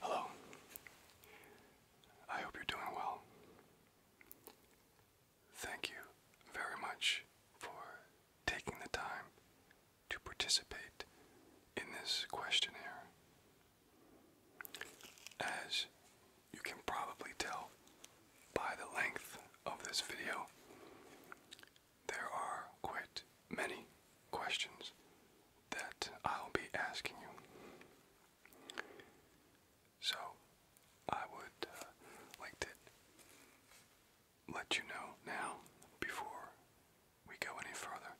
Hello. I hope you're doing well. Thank you very much for taking the time to participate in this questionnaire. As you can probably tell by the length of this video, there are quite many questions that I'll be asking you. So I would uh, like to let you know now, before we go any further,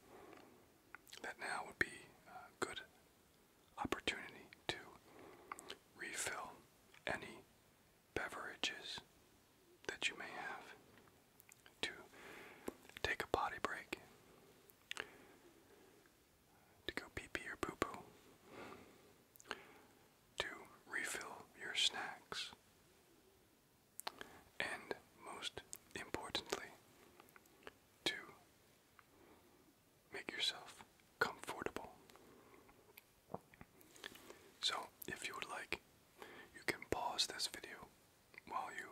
that now would be a good opportunity to refill any beverages that you may have, to take a potty break, to go pee pee or poo poo, to refill your snacks. And most importantly, to make yourself comfortable. So, if you would like, you can pause this video while you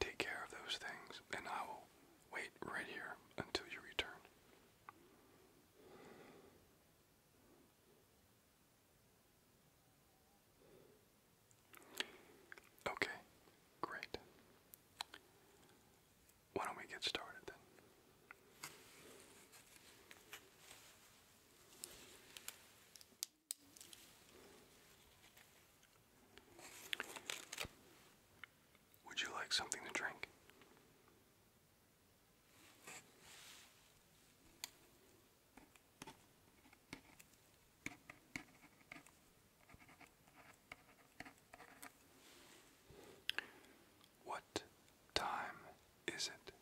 take care of those things, and I will wait right here until you return. Okay, great. Why don't we get started then? Would you like something to drink? What time is it?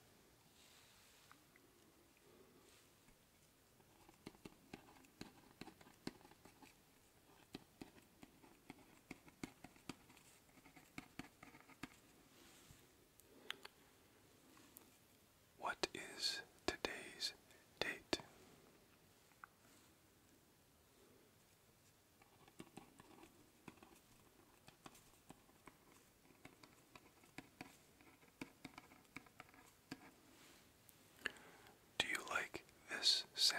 What is today's date? Do you like this sound?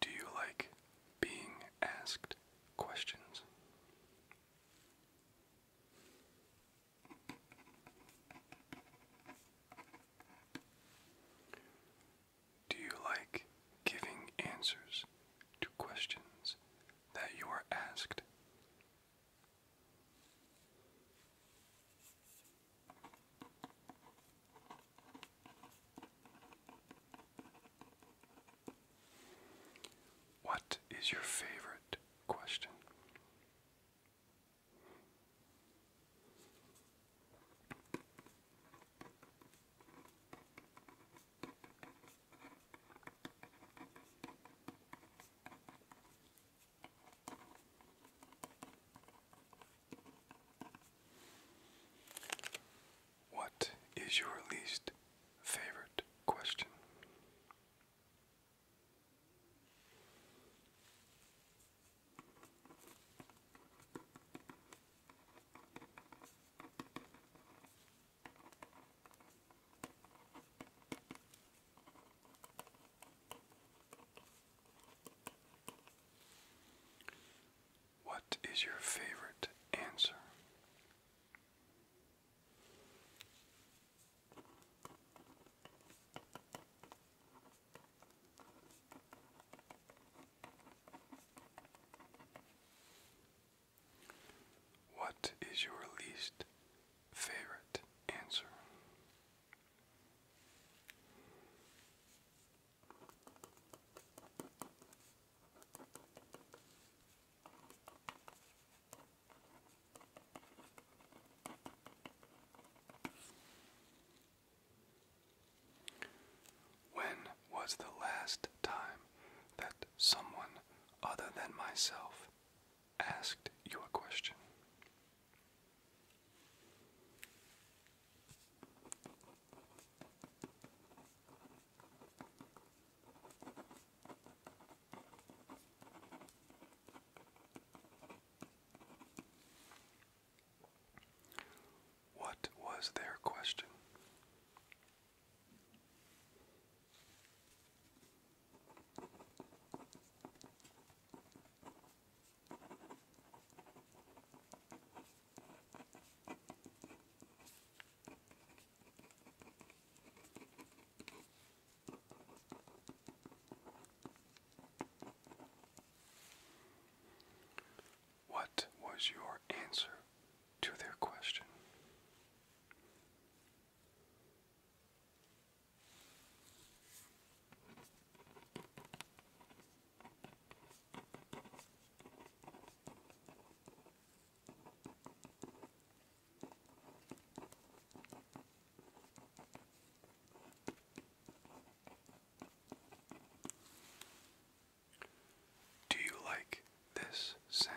Do you like being asked questions? Do you like giving answers to questions that you are asked? What is your favorite question? What is your least favorite question? What is your favorite answer? What is your least favorite answer? When was the last time that someone other than myself asked you a question? What was their question? What was your answer to their question? Do you like this sound?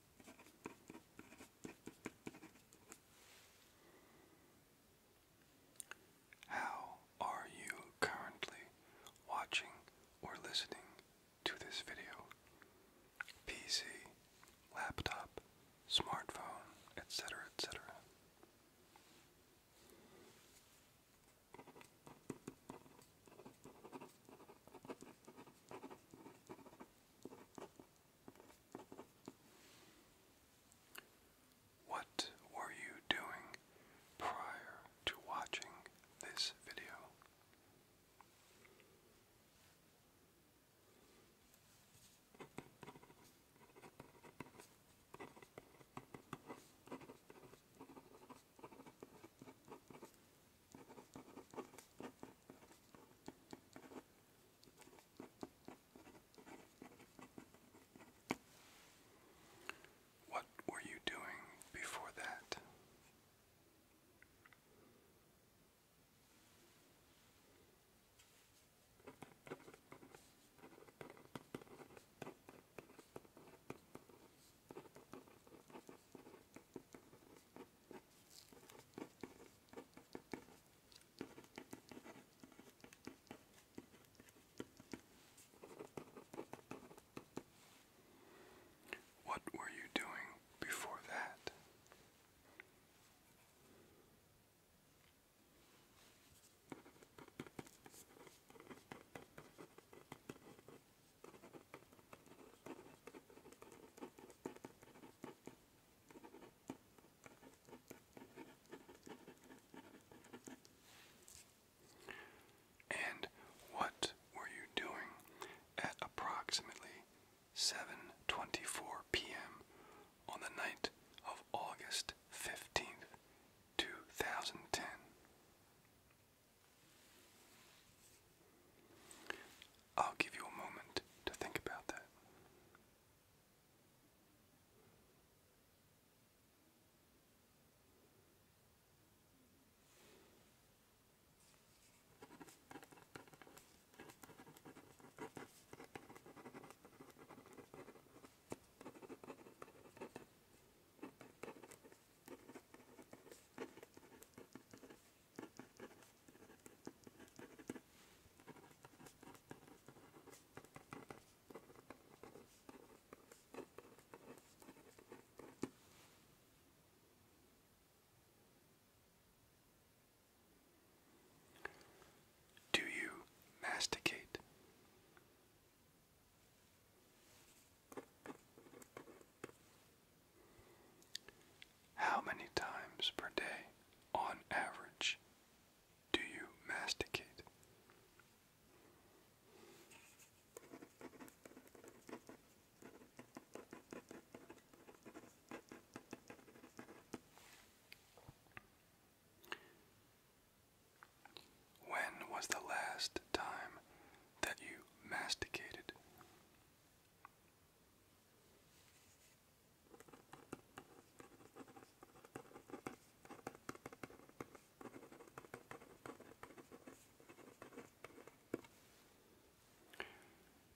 How are you currently watching or listening to this video? PC, laptop, smartphone, etc., etc. What were you doing prior to watching this video? What were you doing before that? What were you doing before that? And what were you doing at approximately 7:24 p.m. on the night of August 15th, 2010? I'll give you a moment to think about that. Do you masticate? How many times per day, on average, do you masticate? When was the last time that you masticated?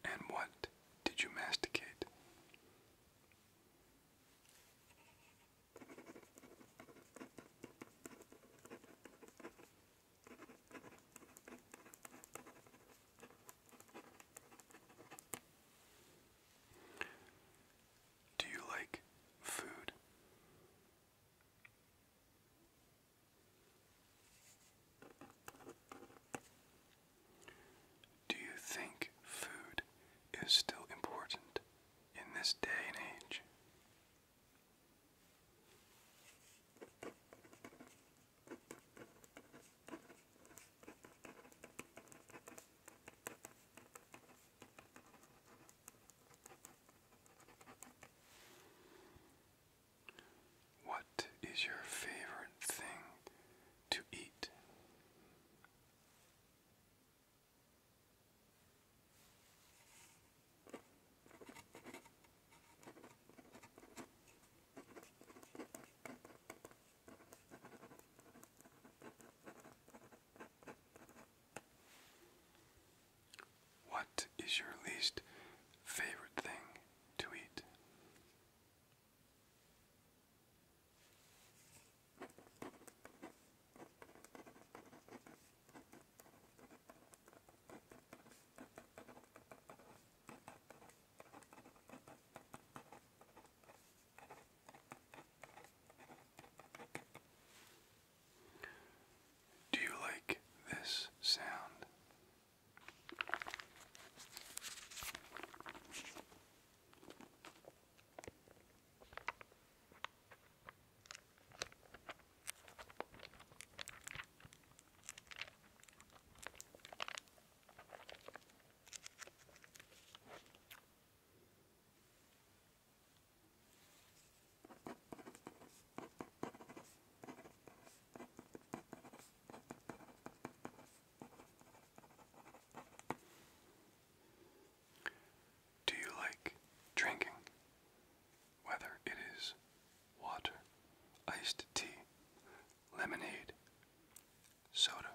And what did you masticate? Do you like food? Do you think food is still important in this day and age? What is your favorite thing to eat? What is your least favorite thing to eat? Do you like this sound? Do you like drinking? Whether it is water, iced tea, lemonade, soda,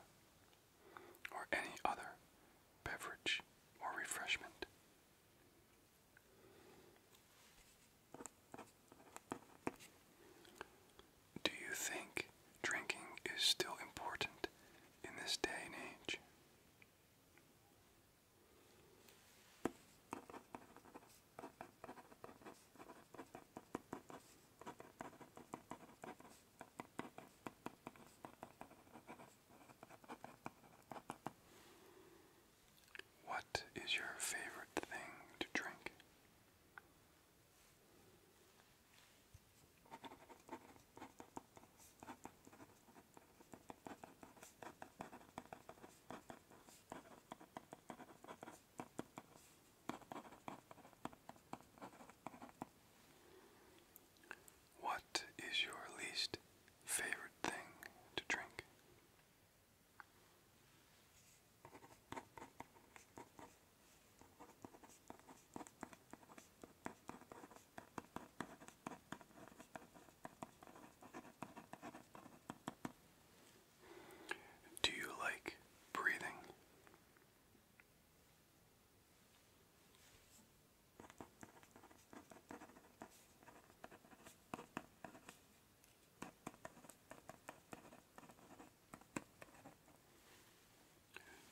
or any other beverage or refreshment. Do you think drinking is still important in this day and age? What is your favorite thing to drink? What is your least favorite thing to drink? Do you like breathing?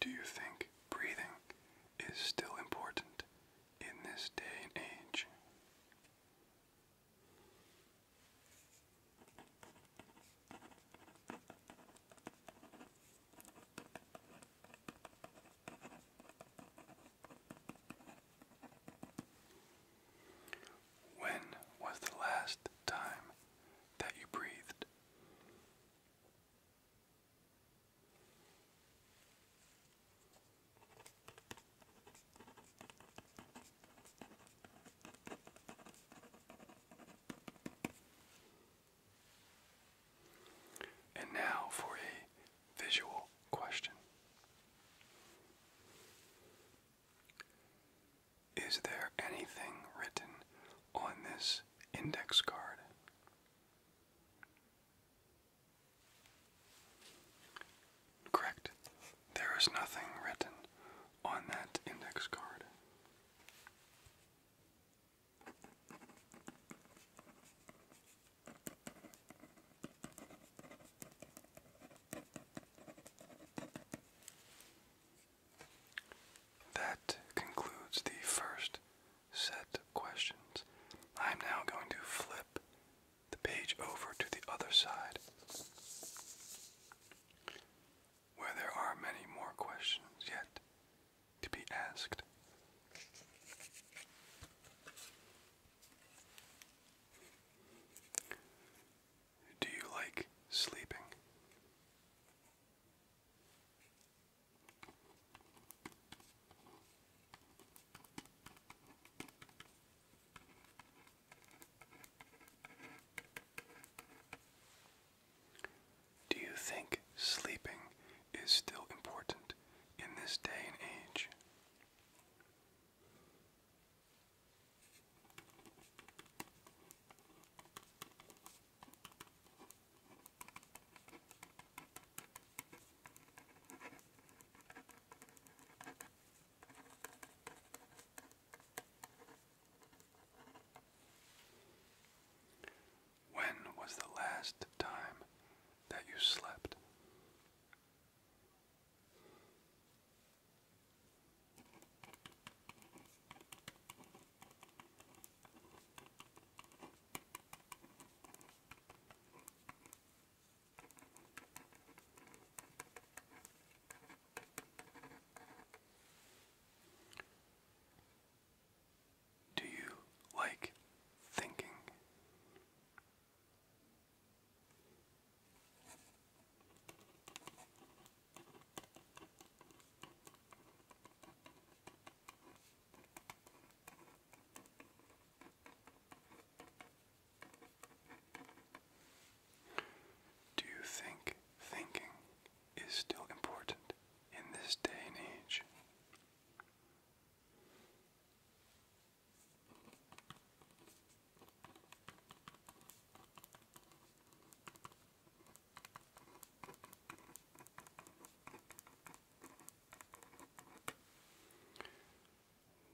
Do you think breathing is still important in this day and age? When was the last time that you breathed? And now for a visual question. Is there anything written on this index card? Correct. There is nothing written on that index card. That concludes the first set of questions. I'm now going to flip the page over to the other side where there are many more questions yet to be asked. Do you like sleeping? Do you think sleeping is still important in this day and age? When was the last time that you slept? Do you like thinking? Do you think thinking is still important in this day and age?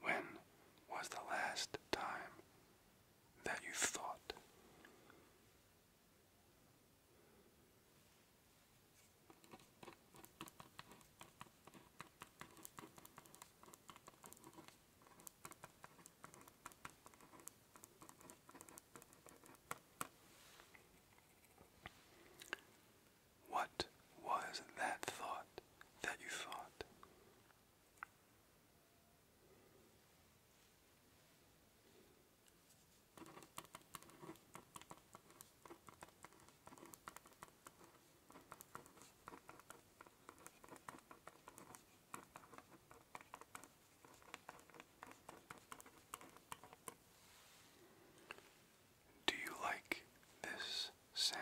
When was the last time that you thought. What was that thought that you thought? Do you like this sound?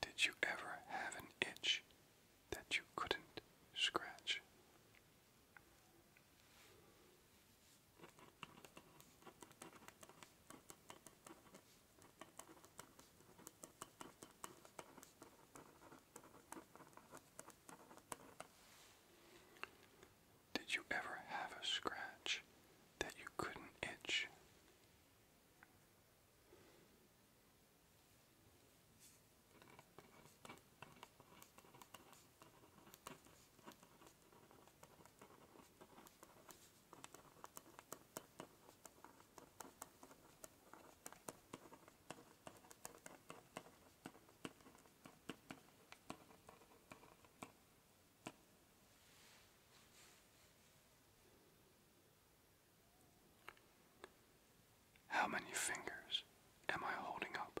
Did you ever have an itch that you couldn't scratch? Did you ever have a scratch that you couldn't itch? How many fingers am I holding up?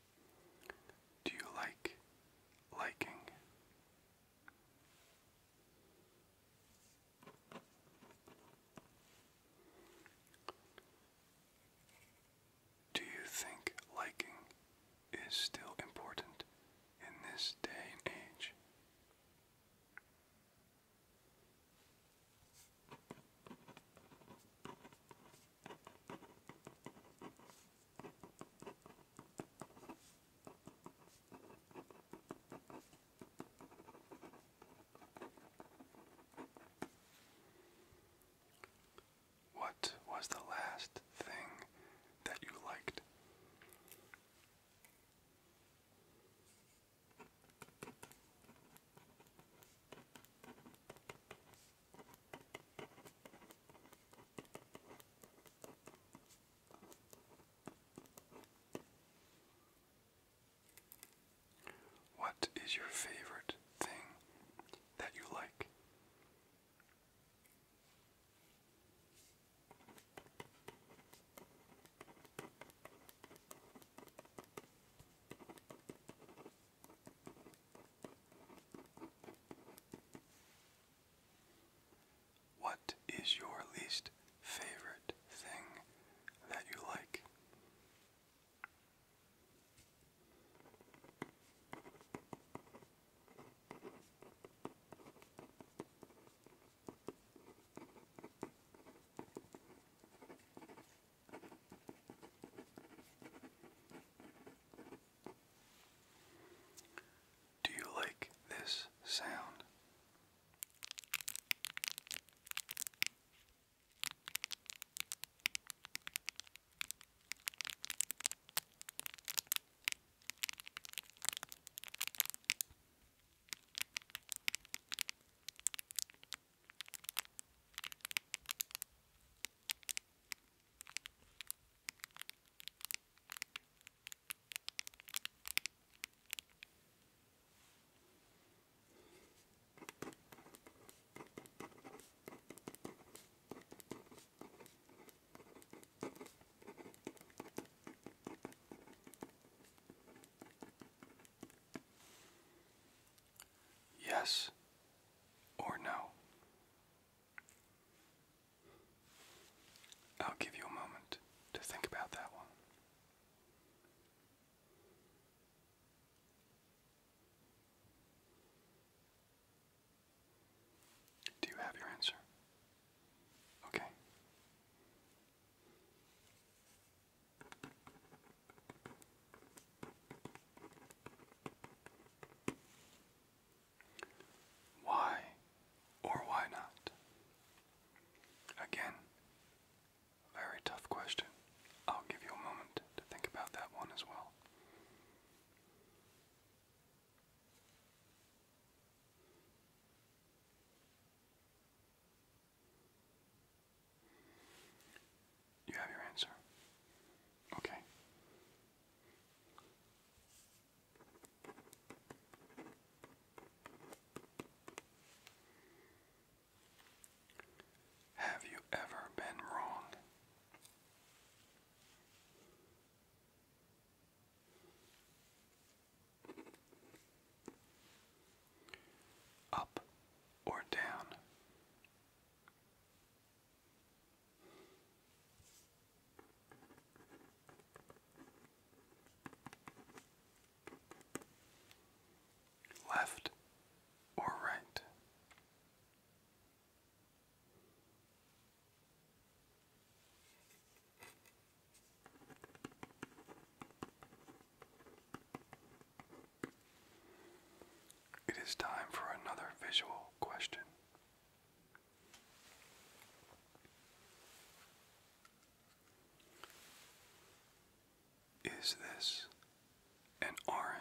Do you like liking? Do you think liking is still important in this day and age? What was the last thing that you liked? What is your favorite thing that you like? What is your least favorite thing that you like? Do you like this sound? Yes or no? I'll give you a moment to think about that one. Do you have your answer? Okay. Why or why not? Again, very tough question. I'll give you a moment to think about that one as well. You have your answer. Okay. Have you ever been wrong? Up or down? Left or right? It is time for another visual question. Is this an orange?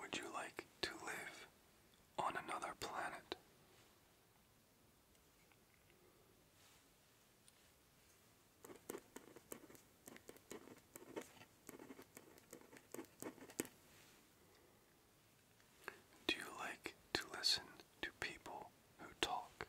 Would you like to live on another planet? Do you like to listen to people who talk.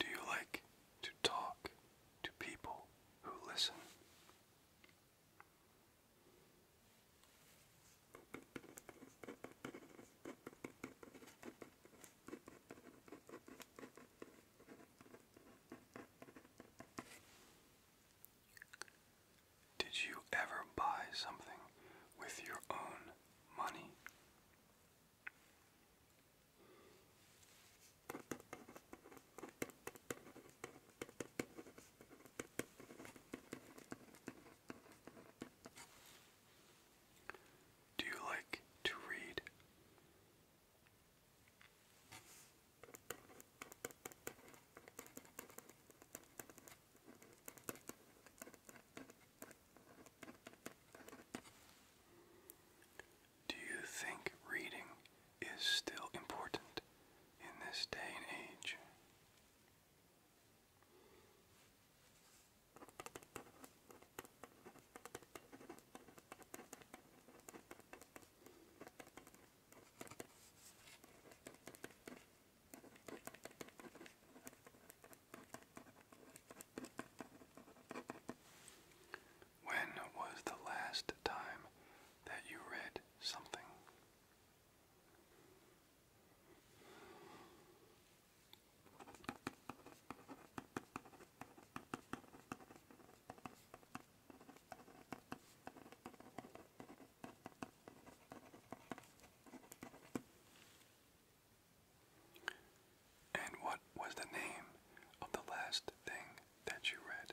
Do you like to talk to people who listen? Did you ever buy something with your own money? Do you like to read? Do you think reading is still important in this day and age? When was the last time that you read something? And what was the name of the last thing that you read?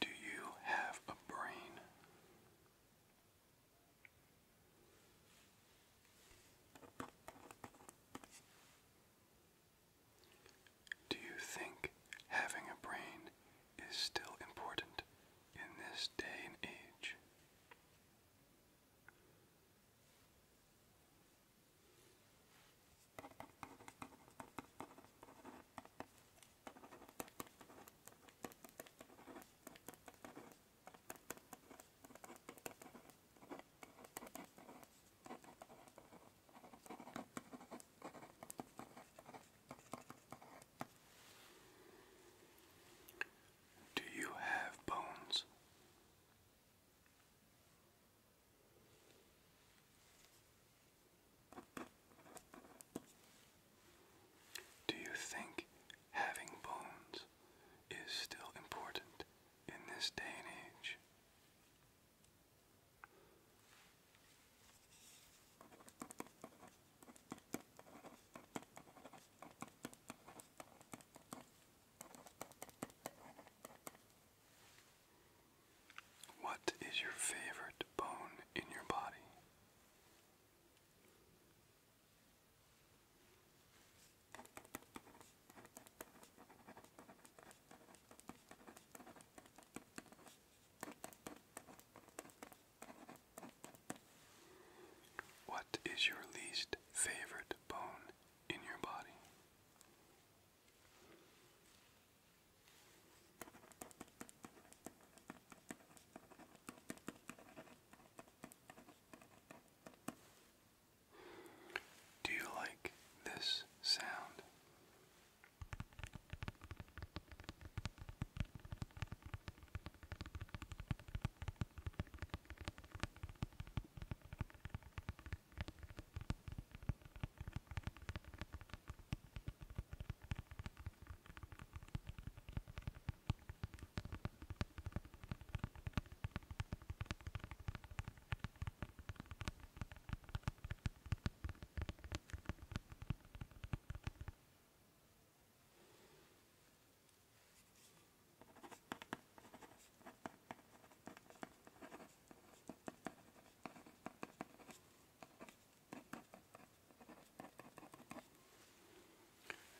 Do you have a brain? Do you think having a brain is still important in this day and age? Do you have bones? Do you think having bones is still important in this day and age? What is your favorite bone in your body? What is your least favorite bone in your body? Do you like this sound?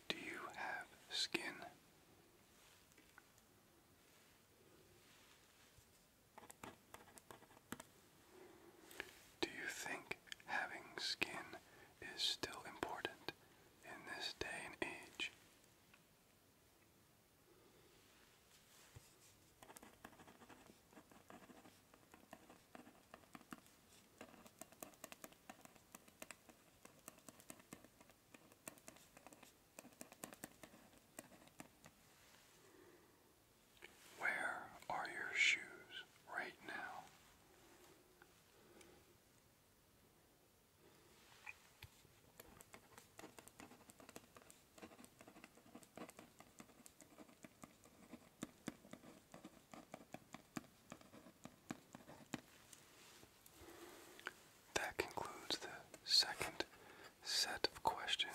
Do you have skin? Do you think having skin is still important in this day and age? Where are your shoes right now? That concludes the second set of questions.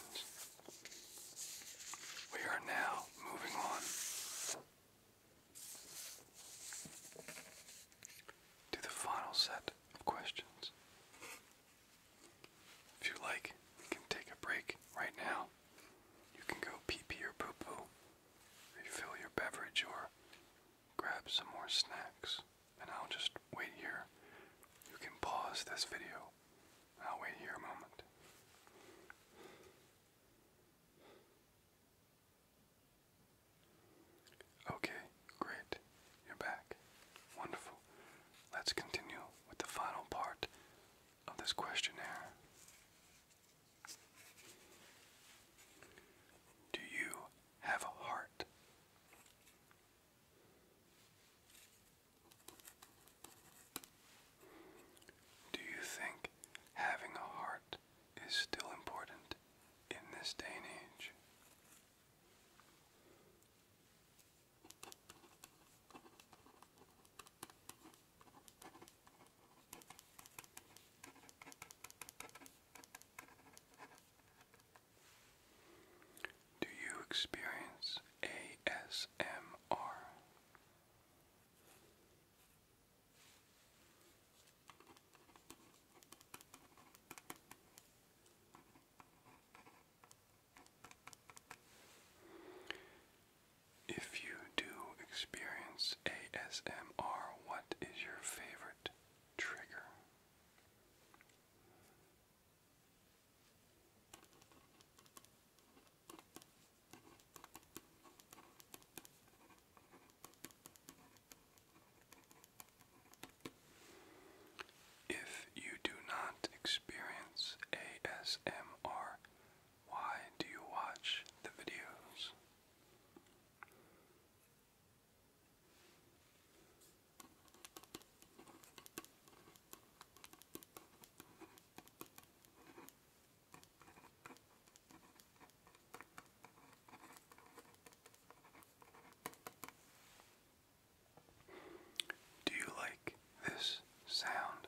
We are now moving on to the final set of questions. If you like, you can take a break right now. You can go pee pee or poo poo, refill your beverage, or grab some more snacks and I'll just wait here. You can pause this video. I'll wait here a moment. Okay, great. You're back. Wonderful. Let's continue with the final part of this questionnaire. Do you have a heart? Do you think having a heart is still important in this day and age? Do you experience ASMR? If you do experience ASMR, what is your favorite trigger? If you do not experience ASMR, why do you watch the videos? Do you like this sound?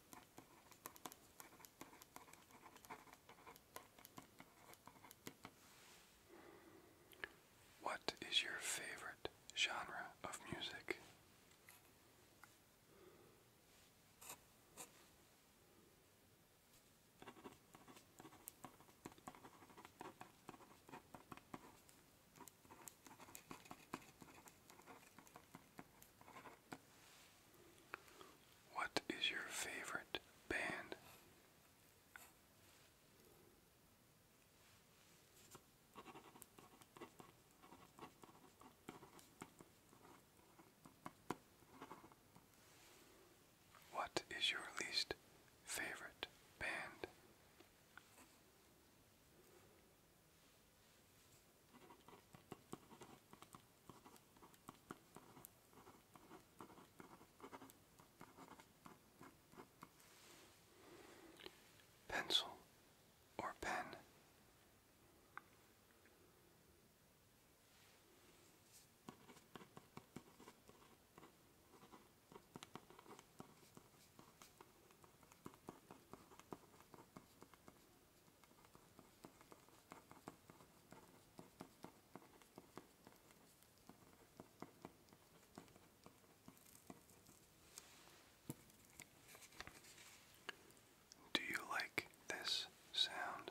What is your favorite genre of music? What is your favorite band? What is your least favorite band? Pencil or pen. Do you like this sound?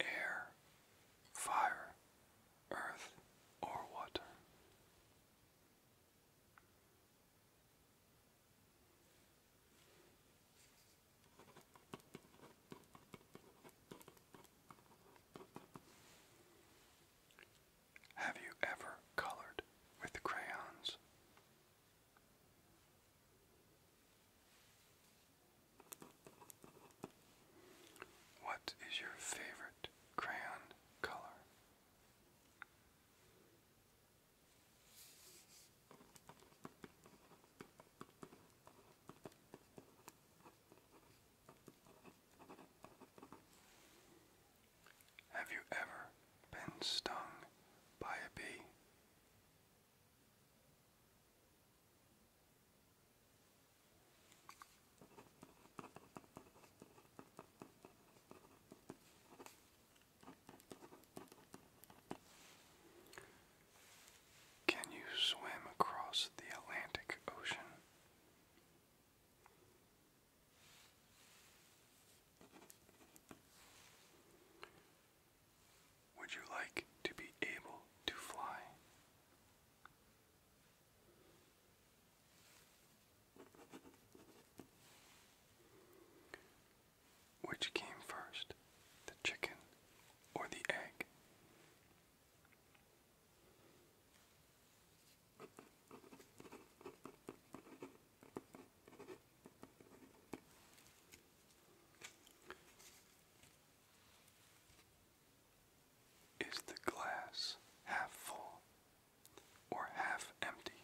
Air, fire, earth, or water. Have you ever colored with crayons? What is your favorite crayon color? Have you ever been stung by a bee? Can you swim across the Atlantic Ocean? Would you like to be able to fly? Which came first, the chicken or the egg? Is the glass half full or half empty?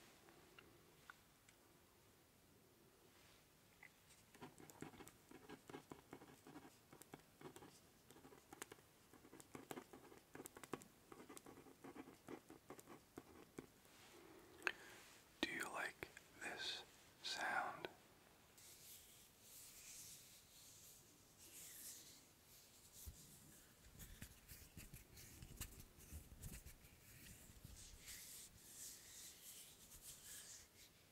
Do you like this sound?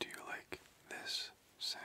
Do you like this sound?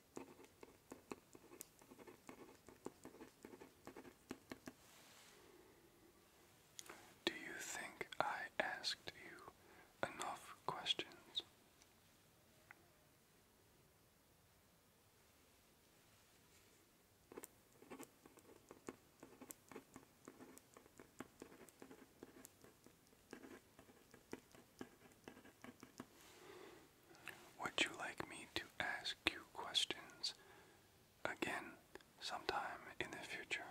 Do you think I asked you enough questions? Would you like me to ask you questions again sometime in the future?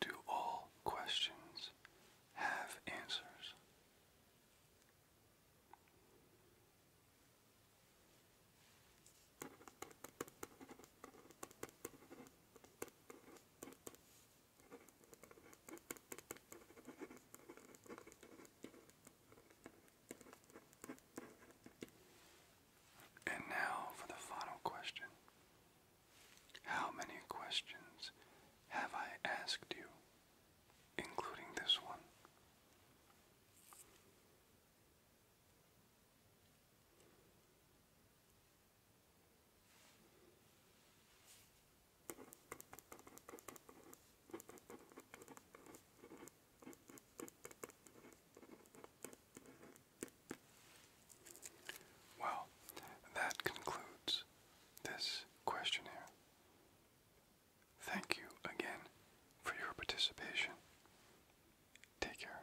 Do all questions have answers? And now for the final question. How many questions have I asked you, including this one? Well, that concludes this questionnaire. Thank you again for your participation. Take care.